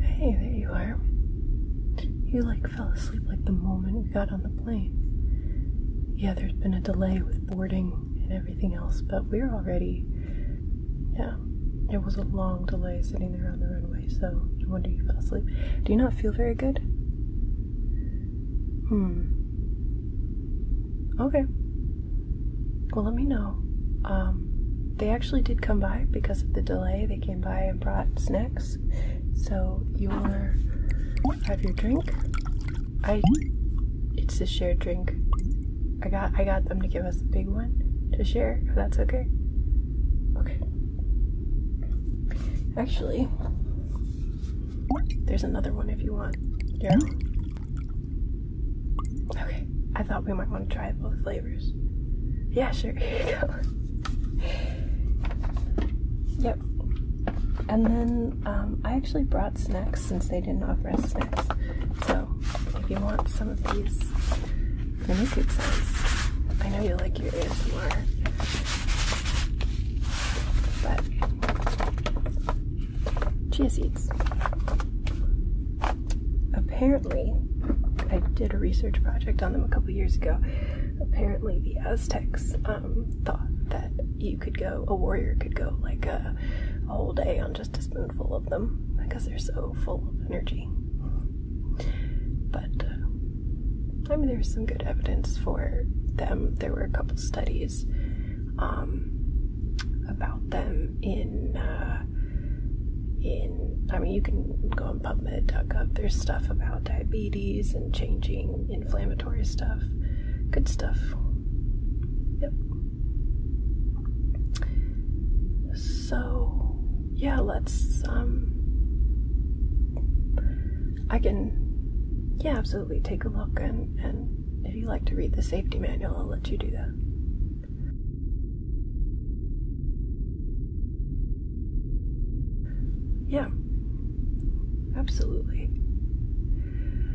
Hey, there you are. You like fell asleep like the moment we got on the plane. Yeah, there's been a delay with boarding and everything else, but we're already. Yeah, it was a long delay sitting there on the runway, so I wonder you fell asleep. Do you not feel very good? Hmm. Okay. Well, let me know. Um, they actually did come by because of the delay. They came by and brought snacks. So you'll have your drink. I. It's a shared drink. I got I got them to give us a big one to share. If that's okay. Okay. Actually, there's another one if you want. Yeah. Hmm? Okay. I thought we might want to try all the flavors. Yeah, sure. Here you go. Yep. And then um, I actually brought snacks since they didn't offer snacks. So if you want some of these mini food sounds, I know you like your ASMR. But chia seeds. Apparently, I did a research project on them a couple years ago. Apparently, the Aztecs um, thought that you could go, a warrior could go like uh, a, whole day on just a spoonful of them because they're so full of energy. But uh, I mean, there's some good evidence for them. There were a couple studies um, about them in uh, in I mean you can go on PubMed.gov. There's stuff about diabetes and changing inflammatory stuff. Good stuff. Yep. So yeah, let's um, I can yeah absolutely take a look and and if you like to read the safety manual, I'll let you do that. Yeah, absolutely.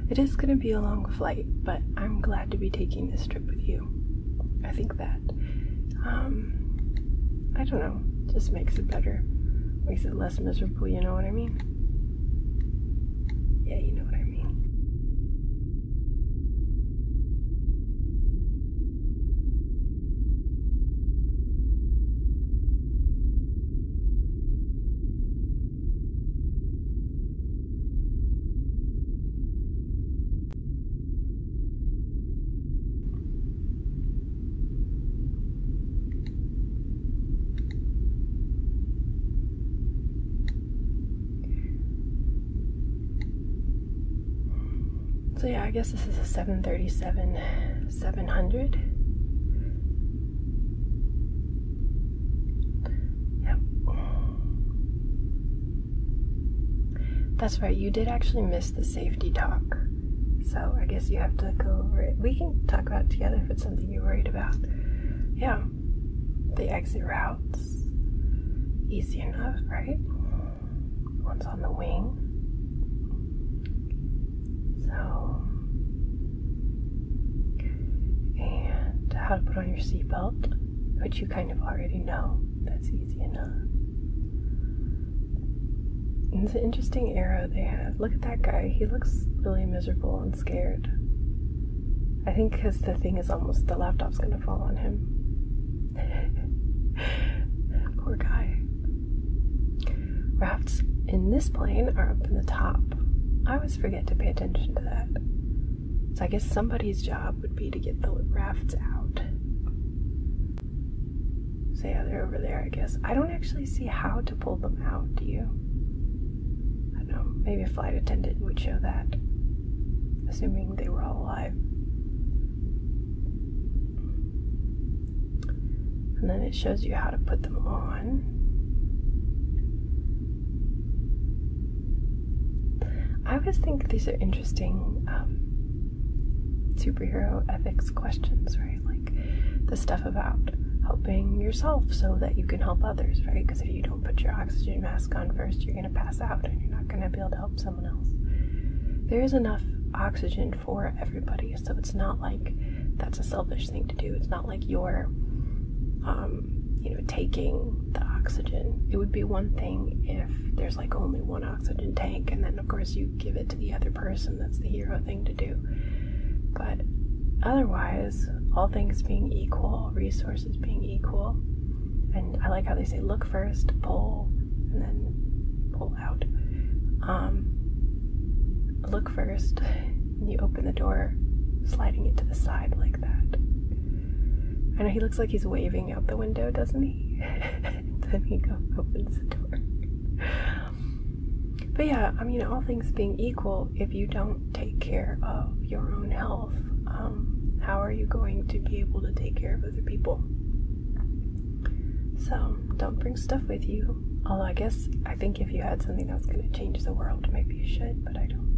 It is going to be a long flight, but I'm glad to be taking this trip with you. I think that, um, I don't know, just makes it better, makes it less less miserable, you know what I mean? Yeah, you know what I mean. So yeah, I guess this is a 737 700. Yep. That's right, you did actually miss the safety talk. So I guess you have to go over it. We can talk about it together if it's something you're worried about yeah, the exit routes easy enough, right? Once on the wing. So, and how to put on your seatbelt, which you kind of already know. That's easy enough. it's an interesting arrow they have. Look at that guy. He looks really miserable scared. I think because the thing is almost the laptop's gonna fall on him. Poor guy. Rafts in this plane are up in the top. I always forget to pay attention to that. So I guess somebody's job would be to get the rafts out. Say, yeah, they're over there, I guess. I don't actually see how to pull them out, do you? I don't know, maybe a flight attendant would show that, assuming they were all alive. And then it shows you how to put them on. I always think these are interesting um, superhero ethics questions, right? Like the stuff about helping yourself so that you can help others, right? Because if you don't put your oxygen mask on first, you're going to pass out and you're not going to be able to help someone else. There is enough oxygen for everybody, so it's not like that's a selfish thing to do. It's not like you're, um, you know, taking the oxygen. It would be one thing if there's like only one oxygen tank, and then of course you give it to the other person. That's the hero thing to do. But otherwise, all things being equal, resources being equal, and I like how they say look first, pull, and then pull out. Um, look first, you open the door, sliding it to the side like that. I know he looks like he's waving out the window, doesn't he? then he opens the door. But yeah, I mean, all things being equal, if you don't take care of your own health, um, how are you going to be able to take care of other people? So don't bring stuff with you. Although I guess I think if you had something that was going to change the world, maybe you should, but I don't.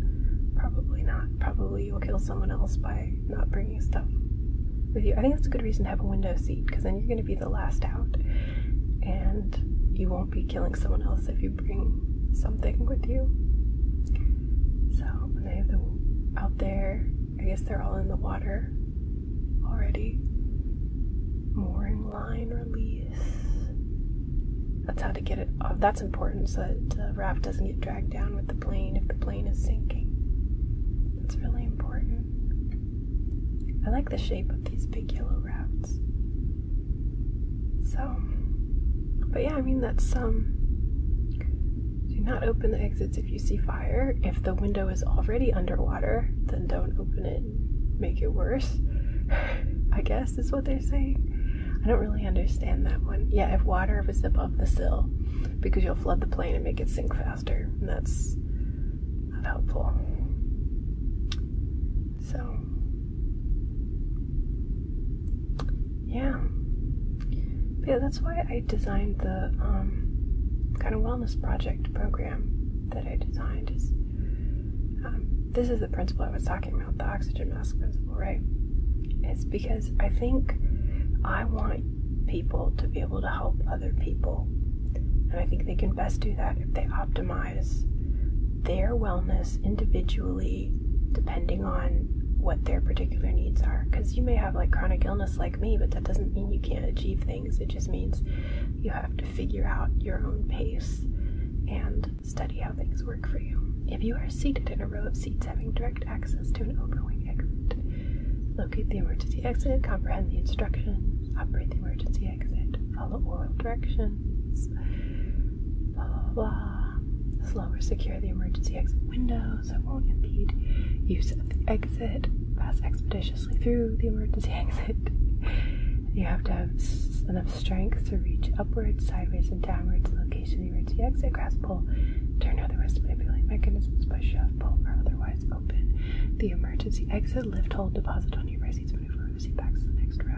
Probably not. Probably you'll kill someone else by not bringing stuff with you. I think that's a good reason to have a window seat because then you're going to be the last out, and you won't be killing someone else if you bring something with you. So when I have them out there, I guess they're all in the water already. Mooring line release. That's how to get it off. That's important so that the raft doesn't get dragged down with the plane if the plane is sinking. That's really important. I like the shape of these big yellow routes. So, but yeah, I mean, that's, um, do not open the exits if you see fire. If the window is already underwater, then don't open it make it worse, I guess is what they're saying. I don't really understand that one. Yeah, if water was above the sill, because you'll flood the plane and make it sink faster, and that's not helpful. So, yeah. yeah, that's why I designed the um, kind of wellness project program that I designed. Is um, this is the principle I was talking about, the oxygen mask principle, right? It's because I think I want people to be able to help other people. And I think they can best do that if they optimize their wellness individually depending on what their particular needs are because you may have like chronic illness like me but that doesn't mean you can't achieve things it just means you have to figure out your own pace and study how things work for you if you are seated in a row of seats having direct access to an overwing exit locate the emergency exit comprehend the instructions operate the emergency exit Follow oral directions. Blah, blah, blah. Slow secure the emergency exit windows that won't impede use of the exit. Pass expeditiously through the emergency exit. You have to have enough strength to reach upwards, sideways, and downwards. Location the emergency exit. Grasp, pull, turn other wrist, mechanisms, push, shove, pull, or otherwise open the emergency exit. Lift, hold, deposit on your right seats, maneuver she backs the next row.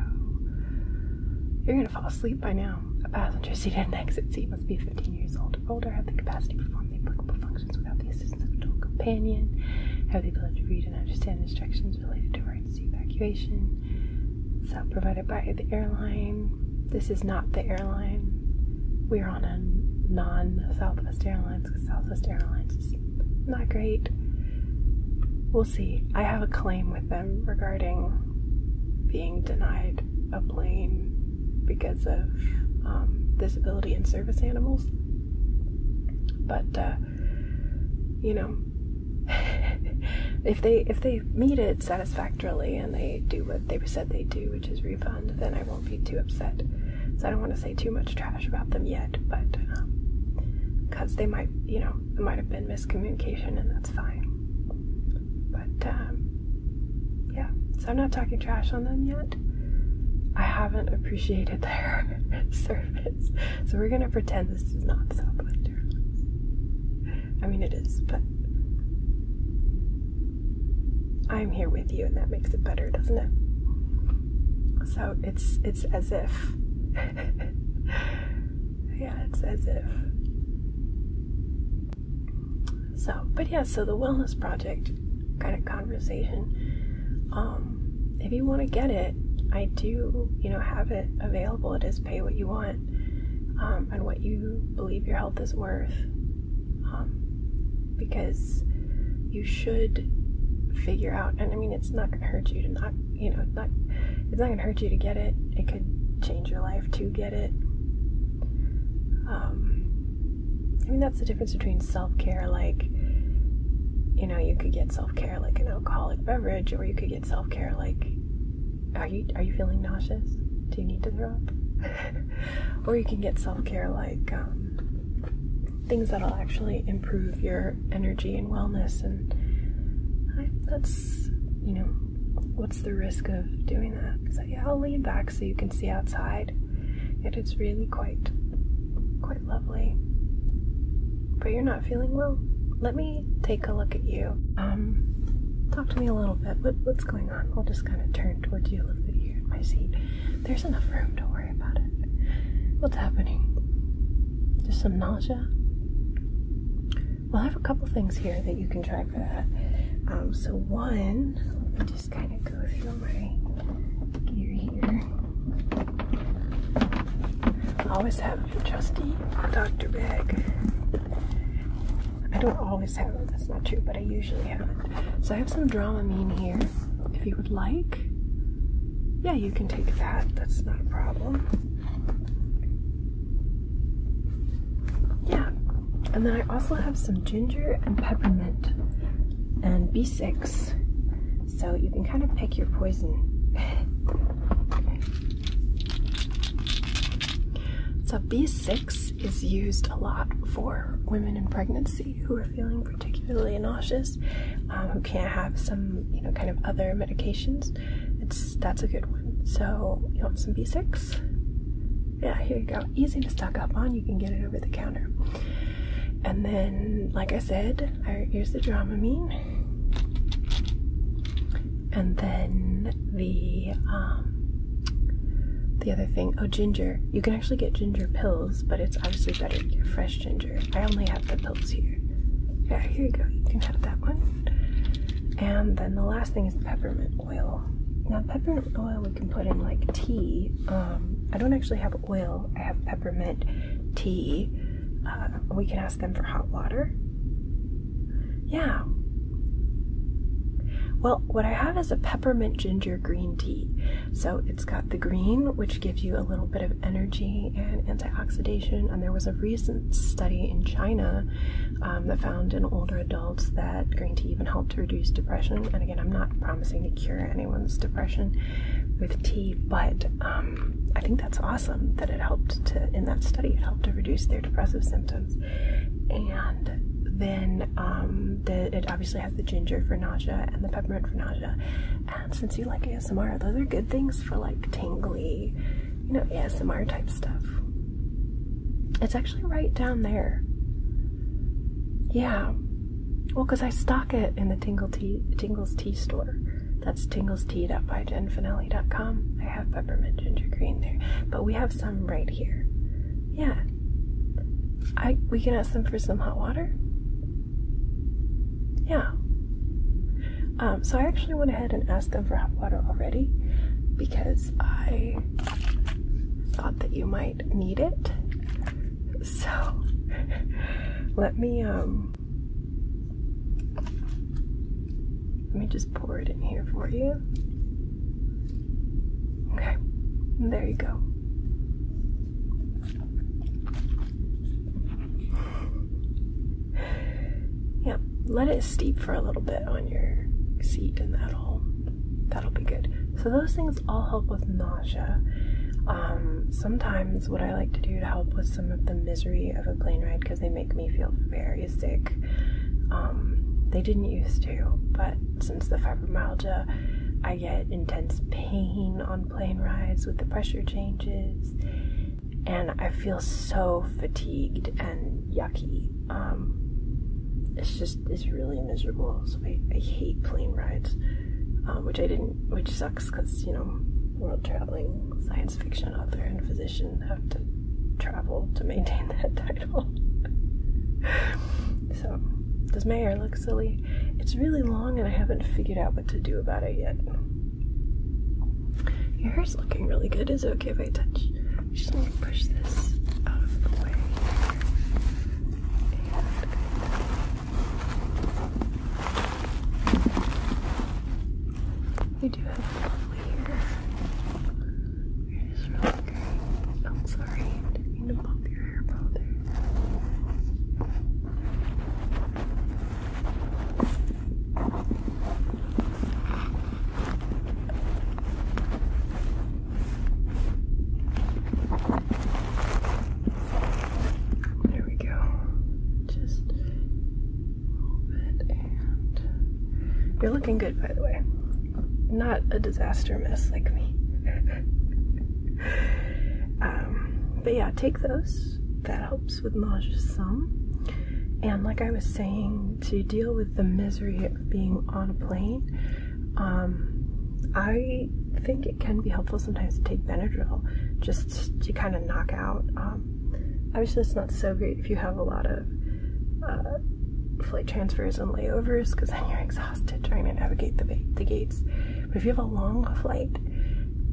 You're gonna fall asleep by now. A passenger seated in the exit seat must be 15 years old or older, have the capacity to perform the applicable functions without the assistance of a adult companion, have the ability to read and understand instructions related to emergency evacuation, so provided by the airline. This is not the airline. We're on a non-Southwest Airlines because Southwest Airlines is not great. We'll see. I have a claim with them regarding being denied a plane because of um, disability and service animals. But uh, you know, if they if they meet it satisfactorily and they do what they said they do, which is refund, then I won't be too upset. So I don't want to say too much trash about them yet, but because um, they might, you know, it might have been miscommunication, and that's fine. But um, yeah, so I'm not talking trash on them yet. I haven't appreciated their service, so we're gonna pretend this is not Southwestern. I mean, it is, but I'm here with you, and that makes it better, doesn't it? So it's it's as if yeah, it's as if. So, but yeah, so the Wellness Project kind of conversation. Um, if you want to get it, I do, you know, have it available. It is pay what you want um, and what you believe your health is worth. Um, because you should figure out, and I mean, it's not going to hurt you to not you know, it's not it's not gonna hurt you to get it. It could change your life to get it. Um, I mean, that's the difference between self care. Like, you know, you could get self care like an alcoholic beverage, or you could get self care like, are you are you feeling nauseous? Do you need to throw up? or you can get self care like um, things that'll actually improve your energy and wellness and that's you know what's the risk of doing that yeah i'll lean back so you can see outside it is really quite quite lovely but you're not feeling well let me take a look at you um, talk to me a little bit what's going on i'll just kind of turn towards you a little bit here in my seat there's enough room to worry about it what's happening just some nausea well, I have a couple things here that you can try for that. Um, so one, let me just kind of go through my gear here. I always have a trusty doctor bag. I don't always have it, that's not true, but I usually have it. So I have some Dramamine here, if you would like. Yeah, you can take that, that's not a problem. Yeah. And then I also have some ginger and peppermint and B6. So you can kind of pick your poison. so B6 is used a lot for women in pregnancy who are feeling particularly nauseous, um, who can't have some, you know, kind of other medications it's that's a good one. So you want some B6? Yeah, here you go. Easy to stock up on. You can get it over the counter. And then, like I said, here's the Dramamine. And then the um, the other thing, oh ginger. You can actually get ginger pills, but it's obviously better to get fresh ginger. I only have the pills here. Yeah, here you go. You can have that one. And then the last thing is peppermint oil. Now, peppermint oil we can put in like tea. Um, I don't actually have oil, I have peppermint tea. Uh, we can ask them for hot water. Yeah. Well, what I have is a peppermint ginger green tea. So it's got the green, which gives you a little bit of energy and antioxidation. And there was a recent study in China um, that found in older adults that green tea even helped to reduce depression. And again, I'm not promising to cure anyone's depression with tea, but um, I think that's awesome that it helped to, in that study, it helped to reduce their depressive symptoms. And then um, it obviously has the ginger for nausea and the peppermint for nausea. And since you like ASMR, those are good things for like tingly, you know, ASMR type stuff. It's actually right down there. Yeah. Well, because I stock it in the Tingle tea, Tingles Tea Store. That's tinglestea.byjenfinelli.com. I have peppermint ginger green there, but we have some right here. Yeah. I we can ask them for some hot water. Yeah. Um, so I actually went ahead and asked them for hot water already because I thought that you might need it. So let me um, let me just pour it in here for you. Okay, there you go yeah, let it steep for a little bit on your seat, and that'll that'll be good. So those things all help with nausea. Um, sometimes what I like to do to help with some of the misery of a plane ride because they make me feel very sick. Um, they didn't used to, but since the fibromyalgia, I get intense pain on plane rides with the pressure changes and I feel so fatigued and yucky. Um, it's just it's really miserable. So I, I hate plane rides, um, which I didn't, which sucks because you know world traveling science fiction author and physician have to travel to maintain that title. so, does my hair look silly? It's really long and I haven't figured out what to do about it yet. Your hair's looking really good. Is it okay if I touch? just let me push this out of the way. you do have lovely hair. It is really great. I'm oh, sorry. I did to bump your hair bow there. There we go. Just a little bit you're looking good by the way. Not a disaster mess like me. Um, but yeah, take those. That helps with nausea some. And like I was saying, to deal with the misery of being on a plane, um, I think it can be helpful sometimes to take Benadryl just to kind of knock out. Um, obviously, it's not so great if you have a lot of uh, flight transfers and layovers because then you're exhausted trying to navigate the, the gates. But if you have a long flight,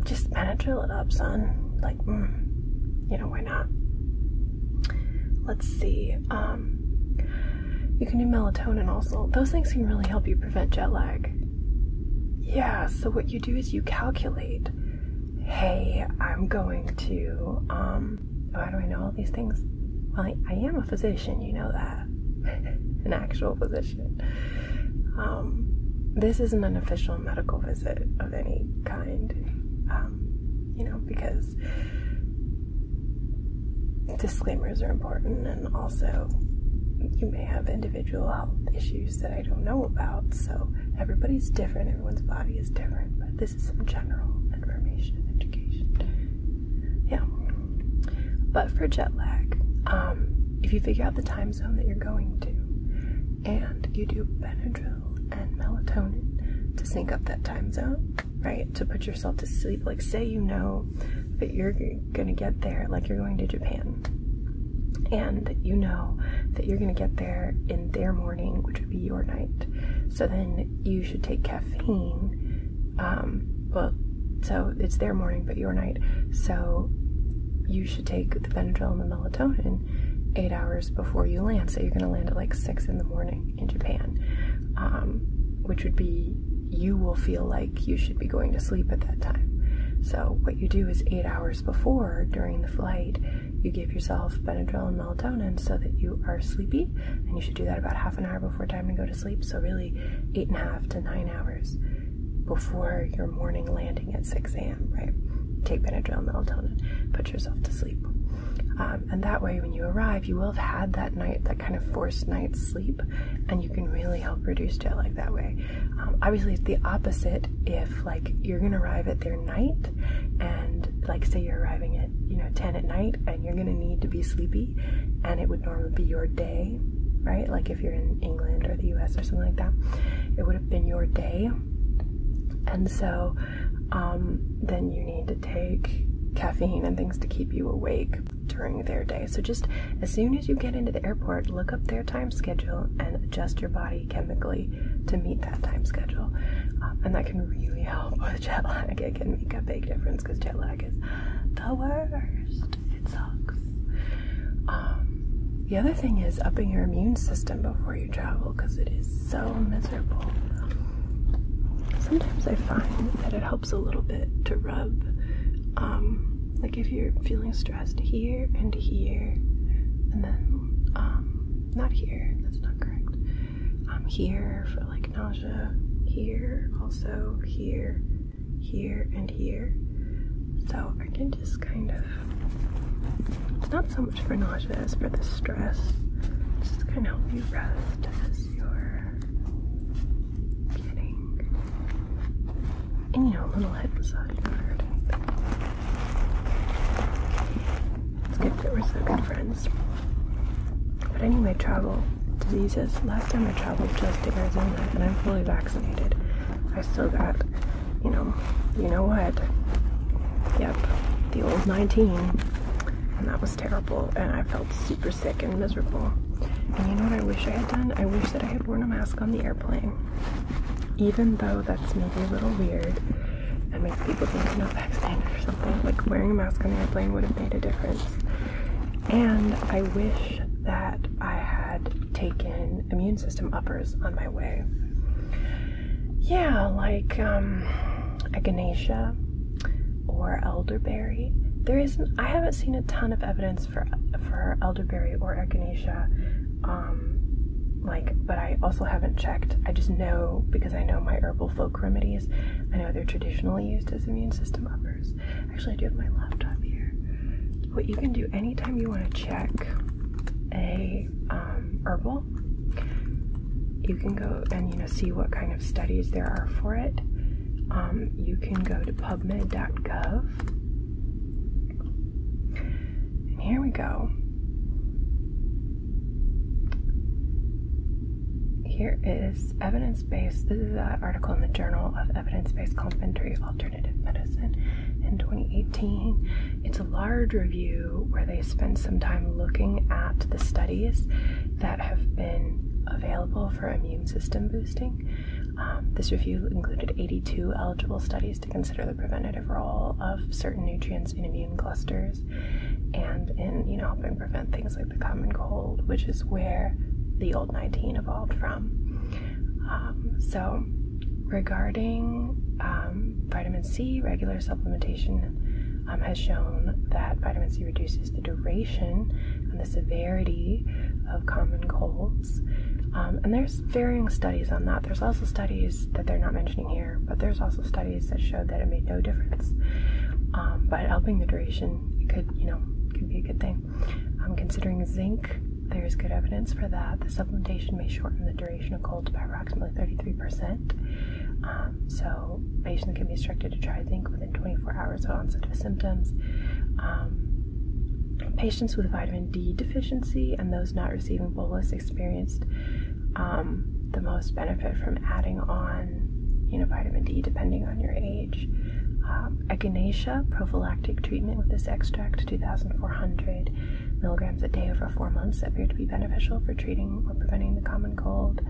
just Benadryl it up, son. Like, mm, you know, why not. Let's see. Um, you can do melatonin also. Those things can really help you prevent jet lag. Yeah, so what you do is you calculate hey, I'm going to, um, oh, How do I know all these things? Well, I, am a physician, you know that. an actual physician. Um, this isn't an official medical visit of any kind. Um, you know, because disclaimers are important, and also you may have individual health issues that I don't know about. So everybody's different, everyone's body is different, but this is some general information, and education. Yeah. But for jet lag, um, if you figure out the time zone that you're going to, and you do Benadryl and melatonin to sync up that time zone, right? To put yourself to sleep. Like, say you know that you're gonna get there, like you're going to Japan, and you know that you're gonna get there in their morning, which would be your night. So then you should take caffeine. Um, well, so it's their morning, but your night. So you should take the Benadryl and the melatonin eight hours before you land. So you're going to land at like six in the morning in Japan, um, which would be you will feel like you should be going to sleep at that time. So what you do is eight hours before during the flight, you give yourself Benadryl and melatonin so that you are sleepy, and you should do that about half an hour before time to go to sleep. So really, eight and a half to nine hours before your morning landing at 6 a.m. Right? Take Benadryl, melatonin, put yourself to sleep. Um, and that way, when you arrive, you will have had that night, that kind of forced night sleep, and you can really help reduce jet lag that way. Um, obviously, it's the opposite if, like, you're gonna arrive at their night, and, like, say you're arriving at, you know, 10 at night, and you're gonna need to be sleepy, and it would normally be your day, right? Like, if you're in England or the US or something like that, it would have been your day. And so um, then you need to take caffeine and things to keep you awake during their day. So just as soon as you get into the airport, look up their time schedule and adjust your body chemically to meet that time schedule. Um, and that can really help with jet lag. It can make a big difference because jet lag is the worst. It sucks. Um, the other thing is upping your immune system before you travel because it is so miserable. Sometimes I find that it helps a little bit to rub, um, like if you're feeling stressed here and here, and then um, not here, that's not correct. I'm um, here for like nausea, here also, here, here, and here. So I can just kind of it's not so much for nausea as for the stress. It's just gonna help you rest as you're getting, and, you know, a little head massage. It's good that we're so good friends. But anyway, travel diseases. Last time I traveled just to Arizona, and I'm fully vaccinated. I still got, you know, you know what? Yep, the old 19. And that was terrible. And I felt super sick and miserable. And you know what I wish I had done? I wish that I had worn a mask on the airplane. Even though that's maybe a little weird and makes people think I'm not vaccinated or something, like wearing a mask on the airplane would have made a difference. And I wish that I had taken immune system uppers on my way yeah, like um, echinacea or elderberry. There isn't. I haven't seen a ton of evidence for for elderberry or echinacea. Um, like, but I also haven't checked. I just know because I know my herbal folk remedies. I know they're traditionally used as immune system uppers. Actually, I do have my laptop here. What you can do anytime you want to check a um, herbal. You can go and you know see what kind of studies there are for it. Um, you can go to PubMed.gov, and here we go. Here is evidence based. This is an article in the Journal of Evidence Based Complementary Alternative Medicine in 2018. It's large review where they spent some time looking at the studies that have been available for immune system boosting. Um, this review included 82 eligible studies to consider the preventative role of certain nutrients in immune clusters and in you know helping prevent things like the common cold, which is where the old 19 evolved from. Um, so regarding um, vitamin C, regular supplementation um, has shown that vitamin C reduces the duration and the severity of common colds. Um, and there's varying studies on that. There's also studies that they're not mentioning here, but there's also studies that showed that it made no difference. Um, but helping the duration could, you know, could be a good thing. considering zinc, there's good evidence for that. The supplementation may shorten the duration duration of cold by approximately 33%. Um, so, patients can be instructed to try zinc within 24 hours of onset of symptoms. Um, patients with vitamin D deficiency and those not receiving bolus experienced um, the most benefit from adding on, you vitamin D depending on your age. echinacea prophylactic treatment with this extract 2,400 milligrams a day over four months appeared to be beneficial for treating or preventing the common cold.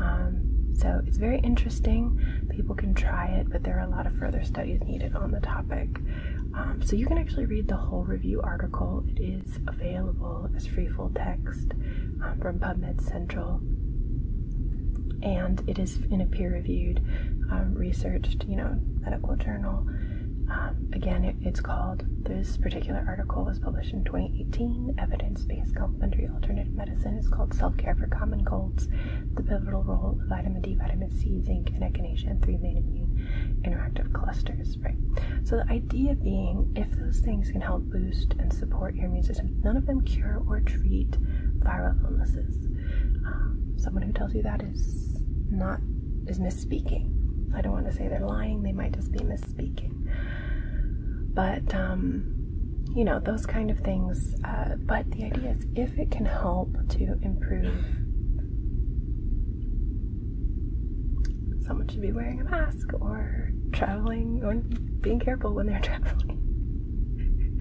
Um, so it's very interesting. People can try it, but there are a lot of further studies needed on the topic. Um, so you can actually read the whole review article. It is available as free full text um, from PubMed Central, and it is in a peer-reviewed, researched, you know, medical journal. Um, again, it's called. This particular article was published in 2018. Evidence based complementary alternative medicine is called Self Care for Common Colds The Pivotal Role of Vitamin D, Vitamin C, Zinc, and Echinacea in Three Main Immune Interactive Clusters. Right. So, the idea being if those things can help boost and support your immune system, none of them cure or treat viral illnesses. Um, someone who tells you that is not is misspeaking. I don't want to say they're lying, they might just be misspeaking speaking. But, um, you know, those kind of things. Uh, but the idea is if it can help to improve. Someone should be wearing a mask or traveling or being careful when they're traveling.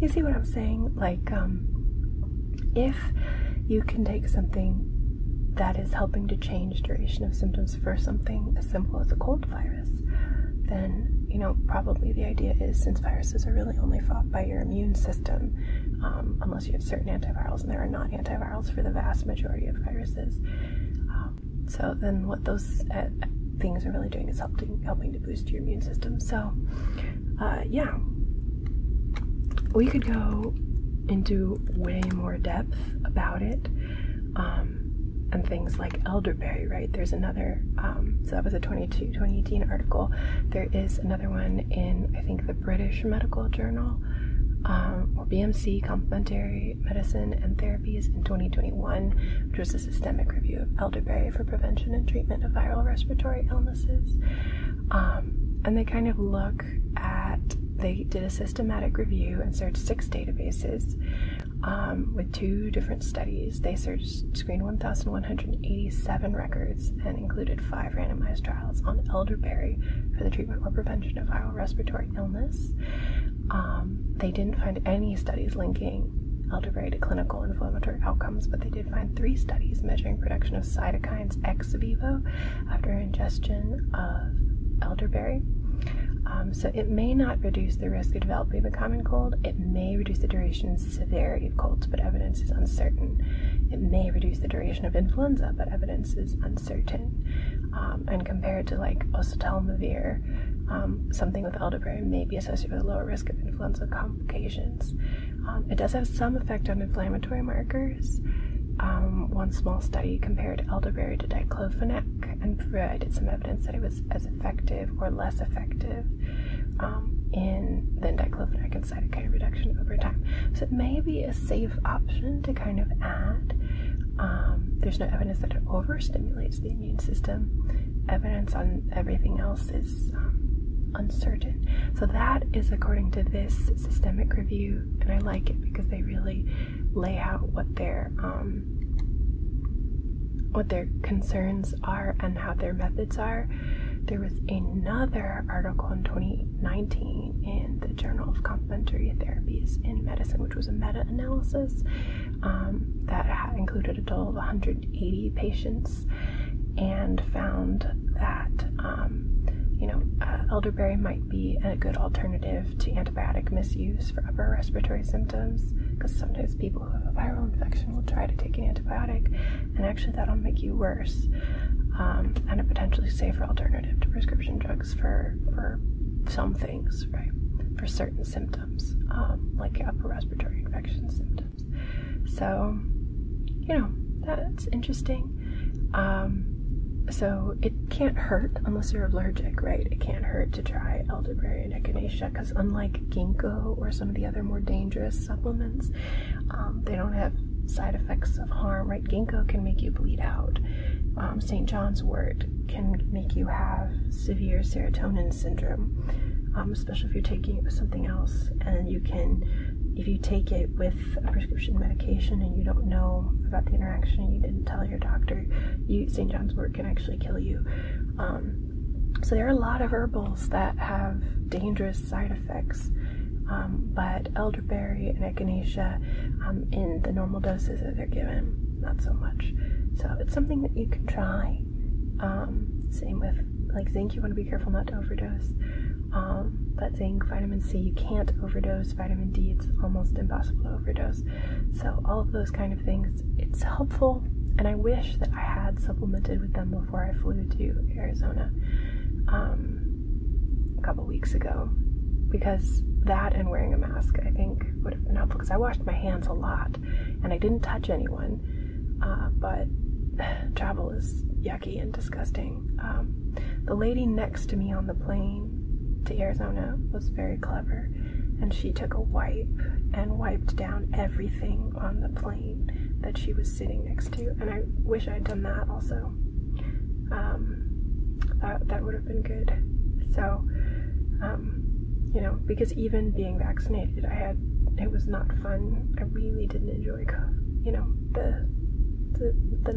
you see what I'm saying? Like, um, if you can take something that is helping to change duration of symptoms for something as simple as a cold virus, then you know probably the idea is since viruses are really only fought by your immune system, um, unless you have certain antivirals, and there are not antivirals for the vast majority of viruses. Um, so then what those uh, things are really doing is helping helping to boost your immune system. So uh, yeah, we could go into way more depth about it. Um, and things like elderberry, right? There's another, um, so that was a 22, 2018 article. There is another one in, I think, the British Medical Journal um, or BMC Complementary Medicine and Therapies in 2021, which was a systemic review of elderberry for prevention and treatment of viral respiratory illnesses. and they kind of look they did a systematic review and searched six databases um, with two different studies. They screened 1,187 records and included five randomized trials on elderberry for the treatment or prevention of viral respiratory illness. Um, they didn't find any studies linking elderberry to clinical inflammatory outcomes, but they did find three studies measuring production of cytokines ex vivo after ingestion of elderberry. Um, so it may not reduce the risk of developing the common cold. It may reduce the duration and severity of colds, but evidence is uncertain. It may reduce the duration of influenza, but evidence is uncertain. Um, and compared to like oseltamivir, um, something with elderberry may be associated with a lower risk of influenza complications. it does have some effect on inflammatory markers um, one small study compared elderberry to diclofenac and provided some evidence that it was as effective or less effective um, in than diclofenac in cytokine reduction over time. So it may be a safe option to kind of add. Um, there's no evidence that it overstimulates the immune system. Evidence on everything else is uncertain. So that is according to this systemic review, and I like it because they really lay out what their um, what their concerns are and how their methods are. There was another article in 2019 in the Journal of Complementary Therapies in Medicine, which was a meta-analysis um, that included a total of 180 patients and found that um, you know uh, elderberry might be a good alternative to antibiotic misuse for upper respiratory symptoms because sometimes people who have a viral infection will try to take an antibiotic and actually that'll make you worse um, and a potentially safer alternative to prescription drugs for, for some things, right? For certain symptoms, um, like upper respiratory infection symptoms. So, you know, that's interesting. Um, so it can't hurt unless you're allergic, right? It can't hurt to try elderberry and echinacea because unlike ginkgo or some of the other more dangerous supplements, um, they don't have side effects of harm, right? Ginkgo can make you bleed out. Um, St. John's wort can make you have severe serotonin syndrome, um, especially if you're taking it with something else. And you can, if you take it with a prescription medication and you don't know about the interaction, you didn't tell your doctor, you St. John's wort can actually kill you. Um, so there are a lot of herbals that have dangerous side effects, um, but elderberry and echinacea, um, in the normal doses that they're given, not so much. So it's something that you can try. same with like zinc, you want to be careful not to overdose. but zinc, vitamin C, you can't overdose. Vitamin D, it's almost impossible to overdose. So, all of those kind of things, it's helpful. And I wish that I had supplemented with them before I flew to Arizona um, a couple weeks ago because that and wearing a mask I think would have been helpful because I washed my hands a lot and I didn't touch anyone. Uh, but travel is yucky and disgusting. Um, the lady next to me on the plane to Arizona was very clever, and she took a wipe and wiped down everything on the plane that she was sitting next to, and I wish I'd done that also. Um, that that would have been good. So, um, you know, because even being vaccinated, I had it was not fun. I really didn't enjoy, you know, the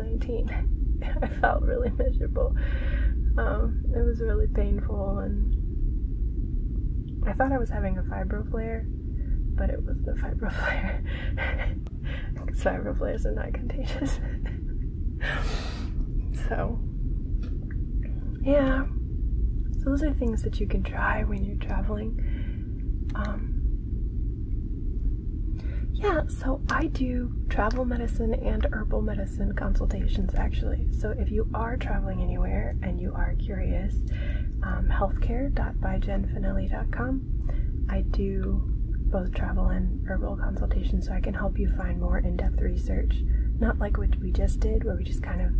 I felt really miserable. Um, it was really painful, and I thought I was having a fibro flare, but it was the fibro flare. because fibro flares are not contagious. so, yeah. So those are things that you can try when you're traveling. Um, yeah, so I do travel medicine and herbal medicine consultations actually. So if you are traveling anywhere and you are curious, um, healthcare.byjenfinelli.com. I do both travel and herbal consultations so I can help you find more in depth research. Not like what we just did, where we just kind of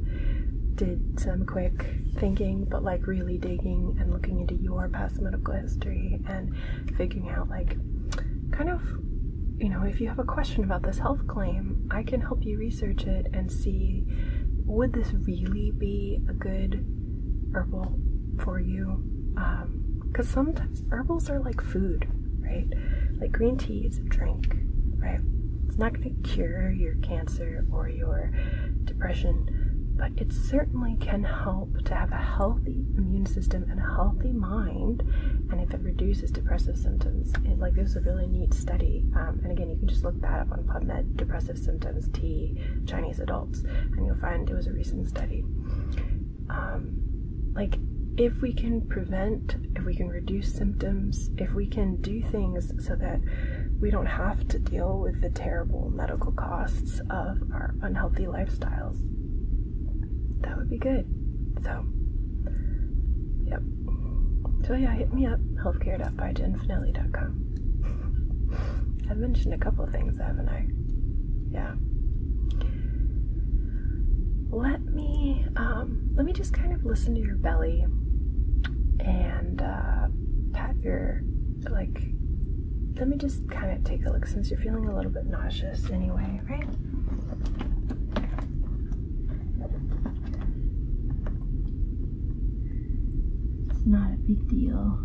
did some quick thinking, but like really digging and looking into your past medical history and figuring out like kind of you know if you have a question about this health claim i can help you research it and see would this really be a good herbal for you because um, sometimes herbals are like food right like green tea is a drink right it's not going to cure your cancer or your depression but it certainly can help to have a healthy immune system and a healthy mind and if it reduces depressive symptoms. like this is a really neat study. Um, and again, you can just look that up on PubMed depressive symptoms T Chinese adults and you'll find it was a recent study. Um, like if we can prevent, if we can reduce symptoms, if we can do things so that we don't have to deal with the terrible medical costs of our unhealthy lifestyles, that would be good. So, yep. So yeah, hit me up, healthcare.byjenfinelli.com. by jenfinelli.com. I've mentioned a couple of things, haven't I? Yeah. Let me um, let me just kind of listen to your belly and uh, pat your like. Let me just kind of take a look since you're feeling a little bit nauseous anyway. It's not a big deal.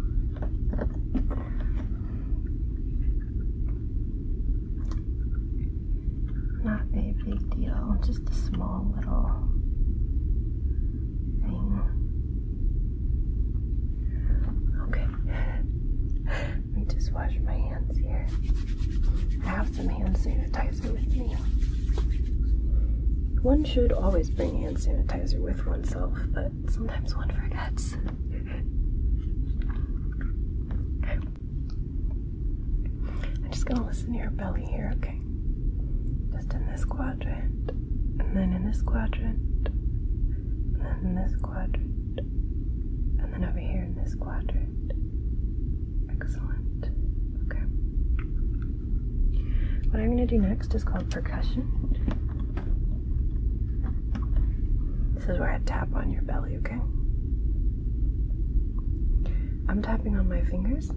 Not a big deal, just a small little thing. Okay. Let me just wash my hands here. I have some hand sanitizer with me. One should always bring hand sanitizer with oneself, but sometimes one forgets. I'm just gonna listen to your belly here, okay? Just in this quadrant, and then in this quadrant, and this and then over here in this quadrant. Excellent. Okay. What I'm going to do next is called percussion. This is where I tap on your belly, okay? I'm tapping on my fingers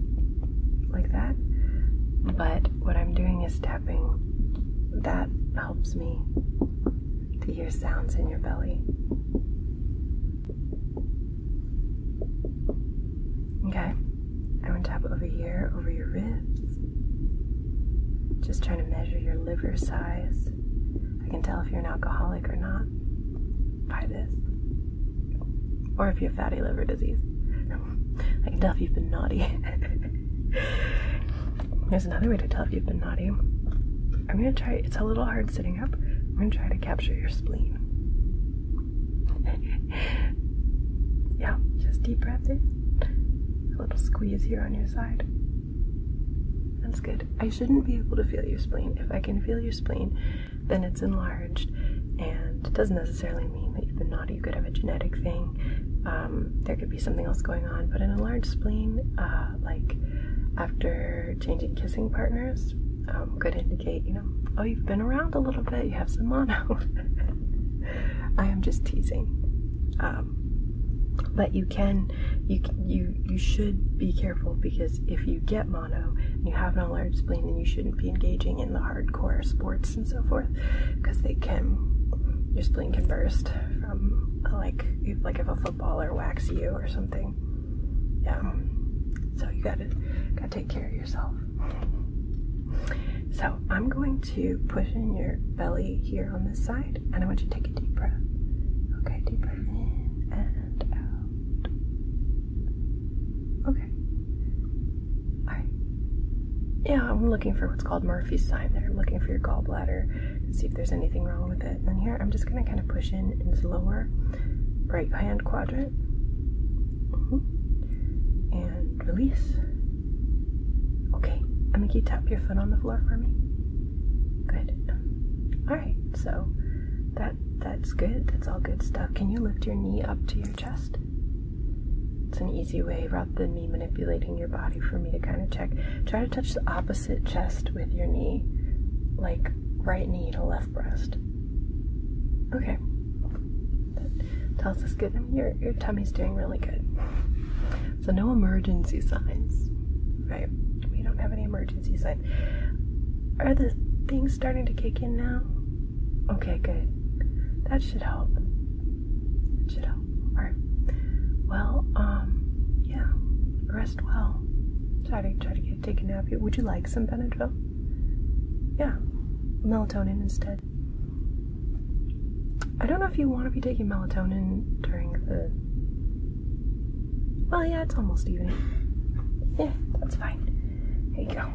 like that, but what I'm doing is tapping that helps me to hear sounds in your belly. Okay, I want to tap over here, over your ribs. Just trying to measure your liver size. I can tell if you're an alcoholic or not by this, or if you have fatty liver disease. I can tell if you've been naughty. Here's another way to tell if you've been naughty. I'm gonna try, it's a little hard sitting up. I'm gonna try to capture your spleen. yeah, just deep breath in. A little squeeze here on your side. That's good. I shouldn't be able to feel your spleen. If I can feel your spleen, then it's enlarged. And it doesn't necessarily mean that you've been naughty. You could have a genetic thing. Um, there could be something else going on, but an enlarged spleen uh, like after changing kissing partners um, could indicate, you know, oh, you've been around a little bit, you have some mono. I am just teasing. Um, but you can, you you you should be careful because if you get mono and you have an enlarged spleen, then you shouldn't be engaging in the hardcore sports and so forth, because they can, your spleen can burst from like if, like if a Ball or wax you or something. Yeah. So you gotta gotta take care of yourself. So I'm going to push in your belly here on this side, and I want you to take a deep breath. Okay, deep in and out. Okay. All right. Yeah, I'm looking for what's called Murphy's sign there. I'm looking for your gallbladder see if there's anything wrong with it. And here I'm just going to kind of push in into lower right hand quadrant mm-hmm. and release. Okay, I'm going to keep tap your foot on the floor for me. Good. Alright, so that that's good. That's all good stuff. Can you lift your knee up to your chest? It's an easy way rather than me manipulating your body for me to kind of check. Try to touch the opposite opposite chest with your knee, like right knee to left breast. Okay. That tells us good. I mean, your, your tummy's doing really good. So, no emergency signs, right? We don't have any emergency signs. Are the things starting to kick in now? Okay, good. That should help. should help. Alright. Well, um, yeah. Rest well. Try to try to get take a nap. Would you like some Benadryl? Yeah, melatonin instead. I don't know if you want to be taking melatonin during the. Well, yeah, it's almost evening. Yeah, that's fine. There you go.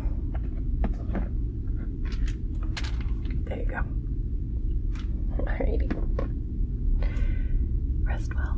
There you go. Alrighty. Rest well.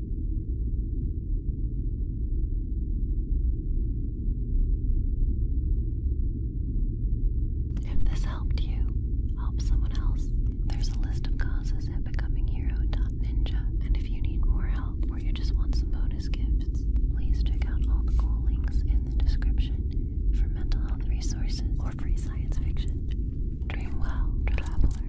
If this helped you, help someone else. There's a list of causes at becomingHero.ninja, and if you need more help or you just want some bonus gifts, please check out all the cool links in the description for mental health resources or free science fiction. Dream well, traveler.